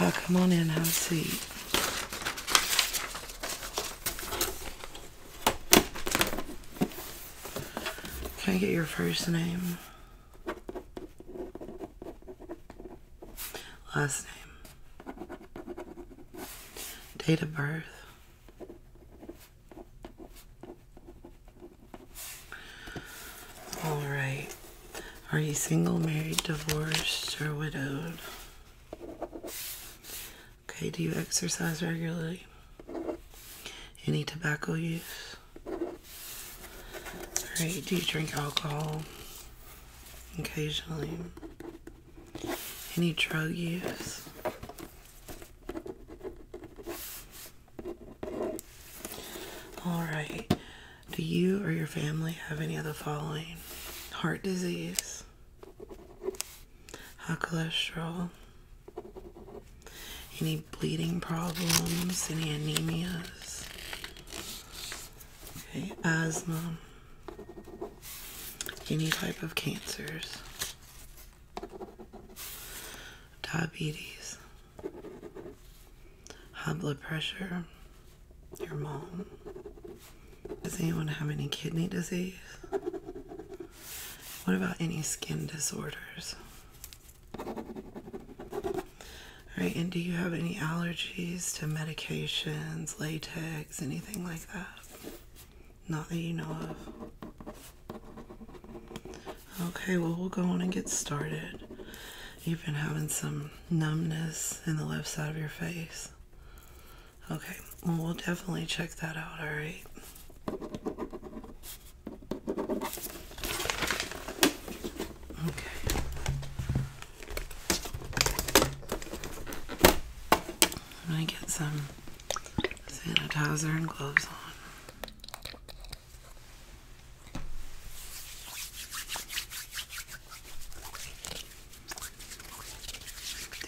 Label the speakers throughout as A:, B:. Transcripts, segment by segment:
A: Oh, come on in, have a seat. Can I get your first name? Last name. Date of birth. All right. Are you single, married, divorced, or widowed? Okay, do you exercise regularly? Any tobacco use? Alright, do you drink alcohol? Occasionally. Any drug use? All right. Do you or your family have any of the following? Heart disease, high cholesterol, any bleeding problems, any anemias, okay, asthma, any type of cancers, diabetes high blood pressure, your mom. Does anyone have any kidney disease? What about any skin disorders? All right, and do you have any allergies to medications, latex, anything like that? Not that you know of. Okay, well, we'll go on and get started. You've been having some numbness in the left side of your face. Okay, well, we'll definitely check that out, alright? Okay. I'm gonna get some sanitizer and gloves on.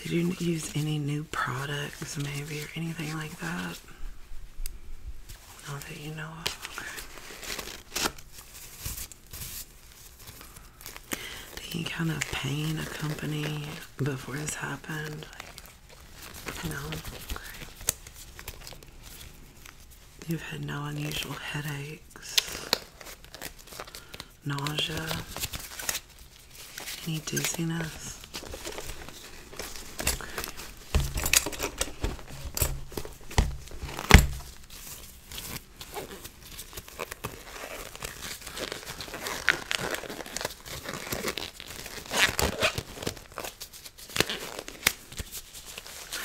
A: Did you use any new products, maybe, or anything like that? Not that you know of. Okay. Did any kind of pain accompany before this happened? No. You've had no unusual headaches, nausea, any dizziness.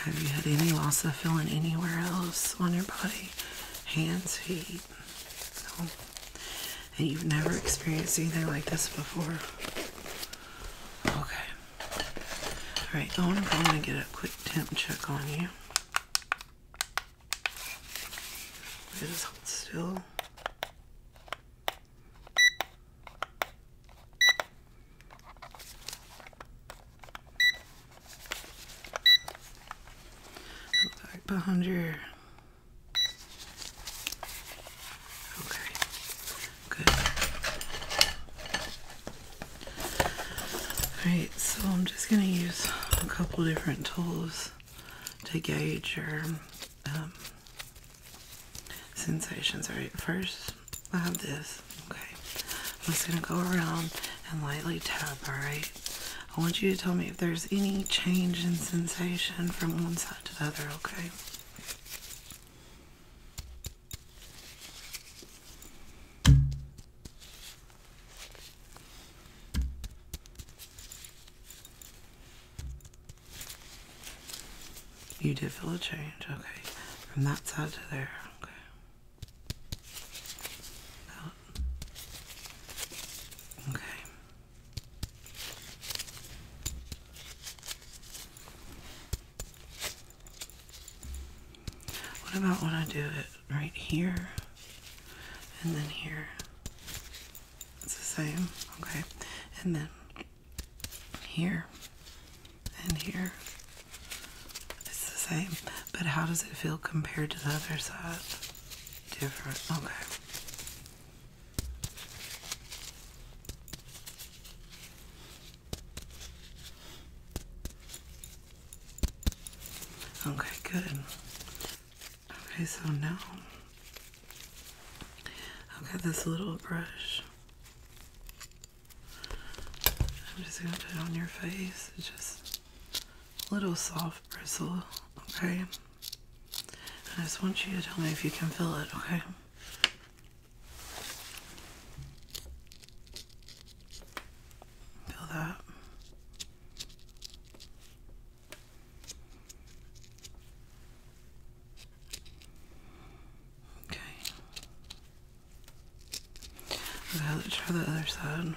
A: Have you had any loss of feeling anywhere else on your body? Hands, feet? And you've never experienced anything like this before? Okay. Alright, I want to get a quick temp check on you. It is still behind your okay good alright so I'm just gonna use a couple different tools to gauge your um, sensations. All right, first I have this. Okay, I'm just gonna go around and lightly tap. All right, I want you to tell me if there's any change in sensation from one side to the other. Okay. You did feel a change, okay. From that side to there, okay. That. Okay. What about when I do it right here and then here? It's the same, okay. And then here and here. It's the same, but how does it feel compared to the other side? Different. Okay. Okay, good. Okay, so now I've got this little brush I'm just gonna put it on your face. just a little soft bristle, okay? I just want you to tell me if you can feel it, okay? Feel that. Okay. let's try the other side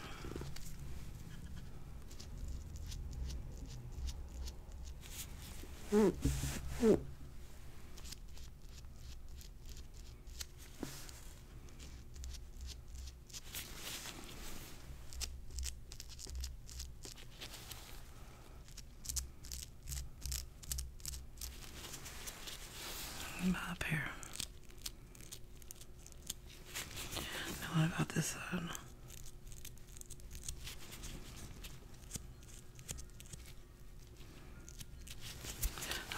A: up here. Now about this side?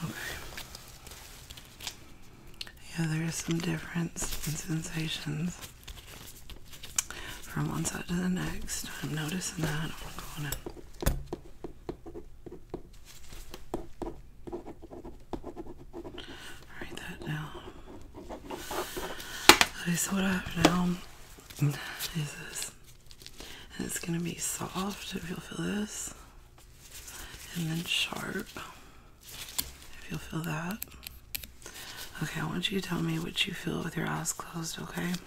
A: Okay. Yeah, there is some difference in sensations from one side to the next. I'm noticing that. Write that down. Okay, so what I have now is this. it's gonna be soft if you'll feel this. And then sharp if you'll feel that. Okay, I want you to tell me what you feel with your eyes closed, okay?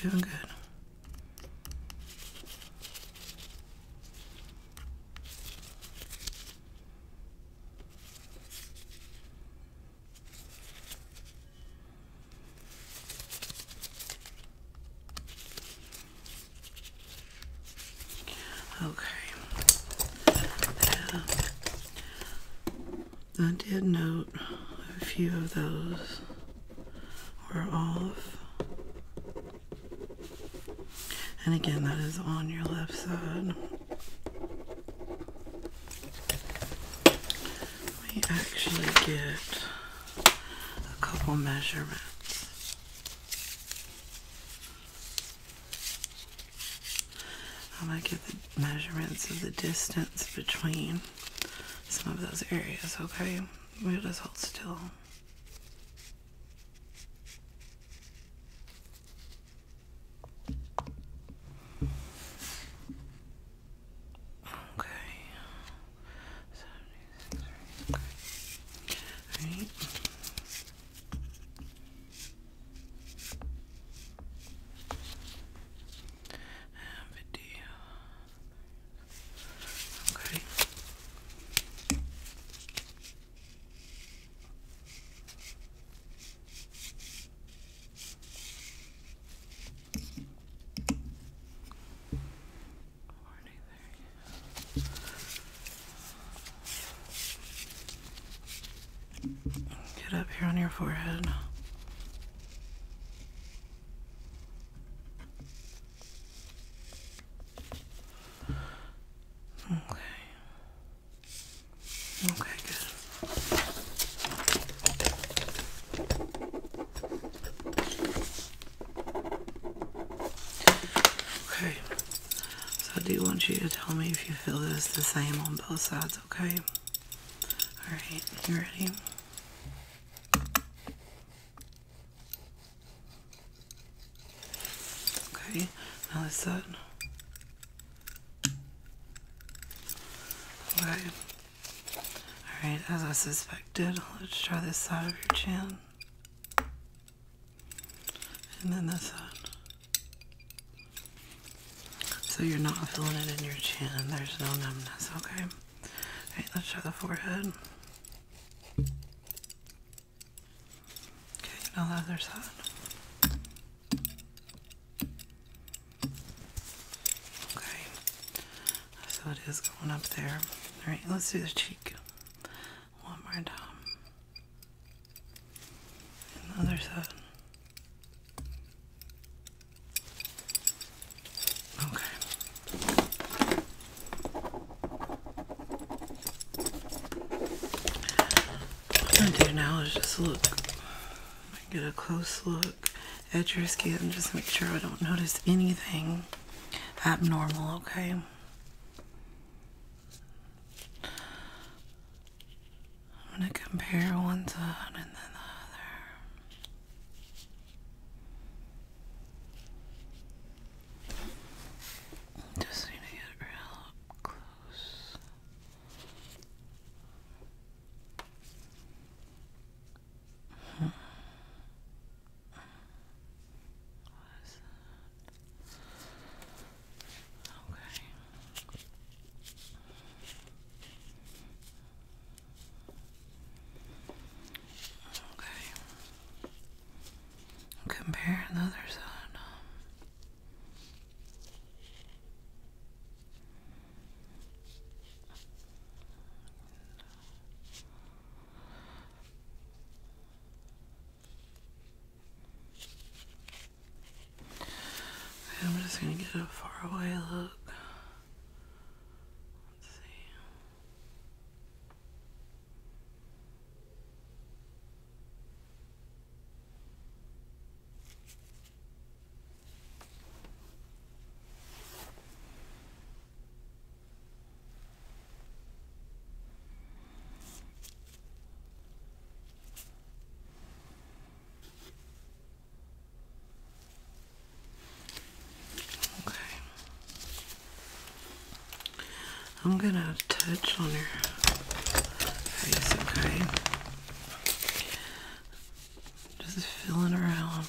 A: You're doing good. Okay. I did note a few of those were off. And again, that is on your left side. We actually get a couple measurements. I'm get the measurements of the distance between some of those areas, okay? We'll just hold still. Okay. right? Okay. Right. And Okay. Get up here on your forehead. Okay. Okay, good. Okay, so I do want you to tell me if you feel this the same on both sides, okay? Alright, you ready? Okay, now this side. Alright, as I suspected, let's try this side of your chin. And then this side. So you're not feeling it in your chin. There's no numbness, okay? Alright, let's try the forehead. Okay, now the other side. Okay, so it is going up there. All right, let's do the cheek one more time. And side. Okay. What I'm gonna do now is just look. Get a close look at your skin. Just make sure I don't notice anything abnormal, okay? I'm going to compare one side and then the other. Just need to get real close. What is that? Okay. Okay. Compare the other side. I'm just gonna get a faraway look. Let's see. Okay. I'm gonna touch on your face, okay? Just feeling around.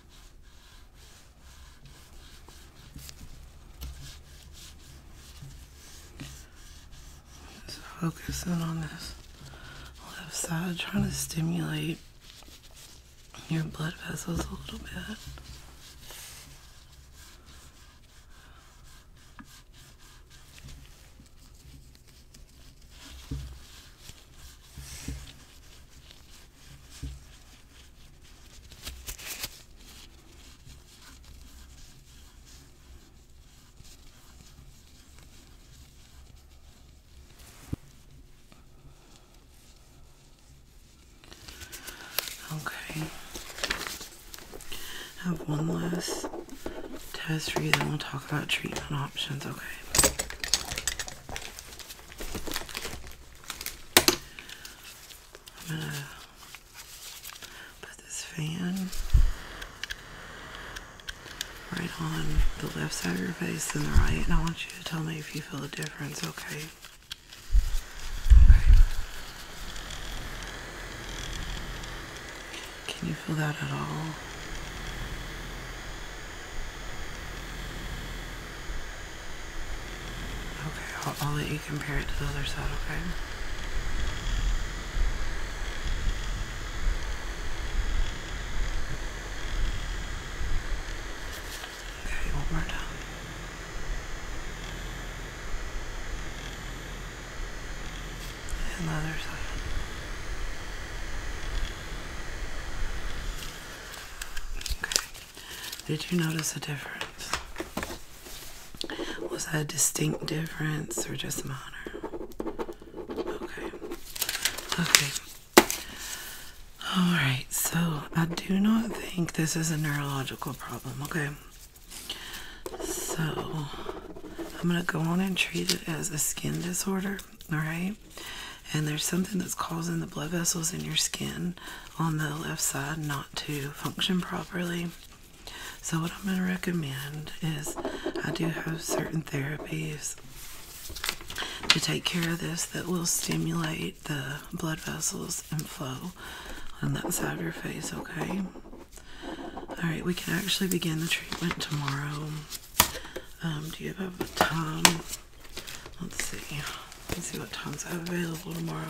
A: Just focusing on this left side, trying to stimulate your blood vessels a little bit. Okay. I have one last test for you, then we'll talk about treatment options, okay? I'm going to put this fan right on the left side of your face and the right, and I want you to tell me if you feel a difference, okay? Okay. Can you feel that at all? Okay, I'll, let you compare it to the other side, okay? Okay, one more And the other side. Did you notice a difference? Was that a distinct difference or just minor? Okay. Okay. Alright, so I do not think this is a neurological problem, okay? So I'm going to go on and treat it as a skin disorder all right? And there's something that's causing the blood vessels in your skin on the left side not to function properly. So, what I'm going to recommend is I do have certain therapies to take care of this that will stimulate the blood vessels and flow on that side of your face, okay? All right, we can actually begin the treatment tomorrow. Um, do you have a time? Let's see. Let's see what times are available tomorrow.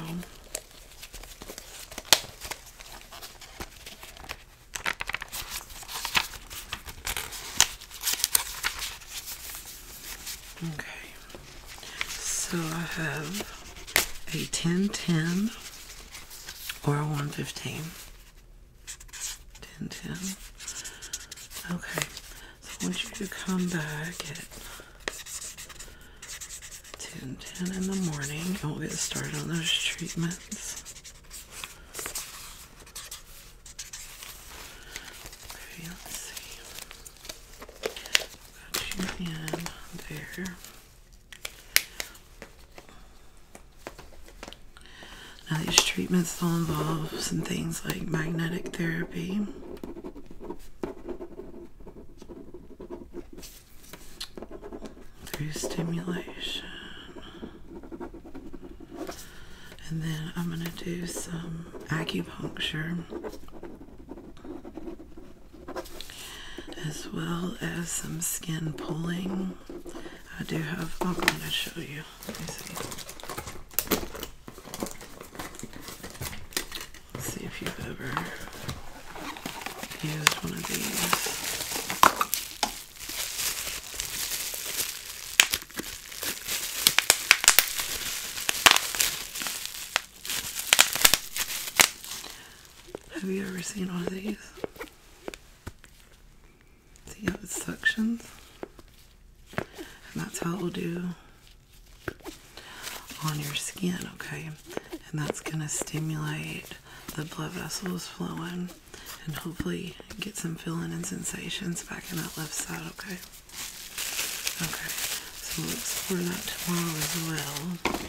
A: Okay. So I have a 1010 or a 115. 1010. Okay. I want you to come back at 10, in the morning and we'll get started on those treatments. Okay, let's see. Got you in there. Now, these treatments all involve some things like magnetic therapy, through stimulation, and then I'm going to do some acupuncture. As well as some skin pulling. I do have, I'm going to show you basically. Let's see if you've ever used one of these. Have you ever seen one of these? See how it suctions? And that's how it'll do on your skin, okay? And that's gonna stimulate the blood vessels flowing and hopefully get some feeling and sensations back in that left side, okay? Okay, so we'll explore that tomorrow as well.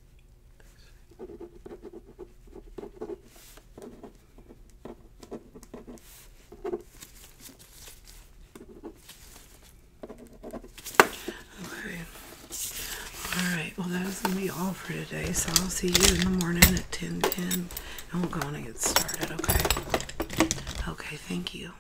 A: Okay. All right. Well, that is going to be all for today. So I'll see you in the morning at 10 10. And we'll go and get started. Okay. Okay. Thank you.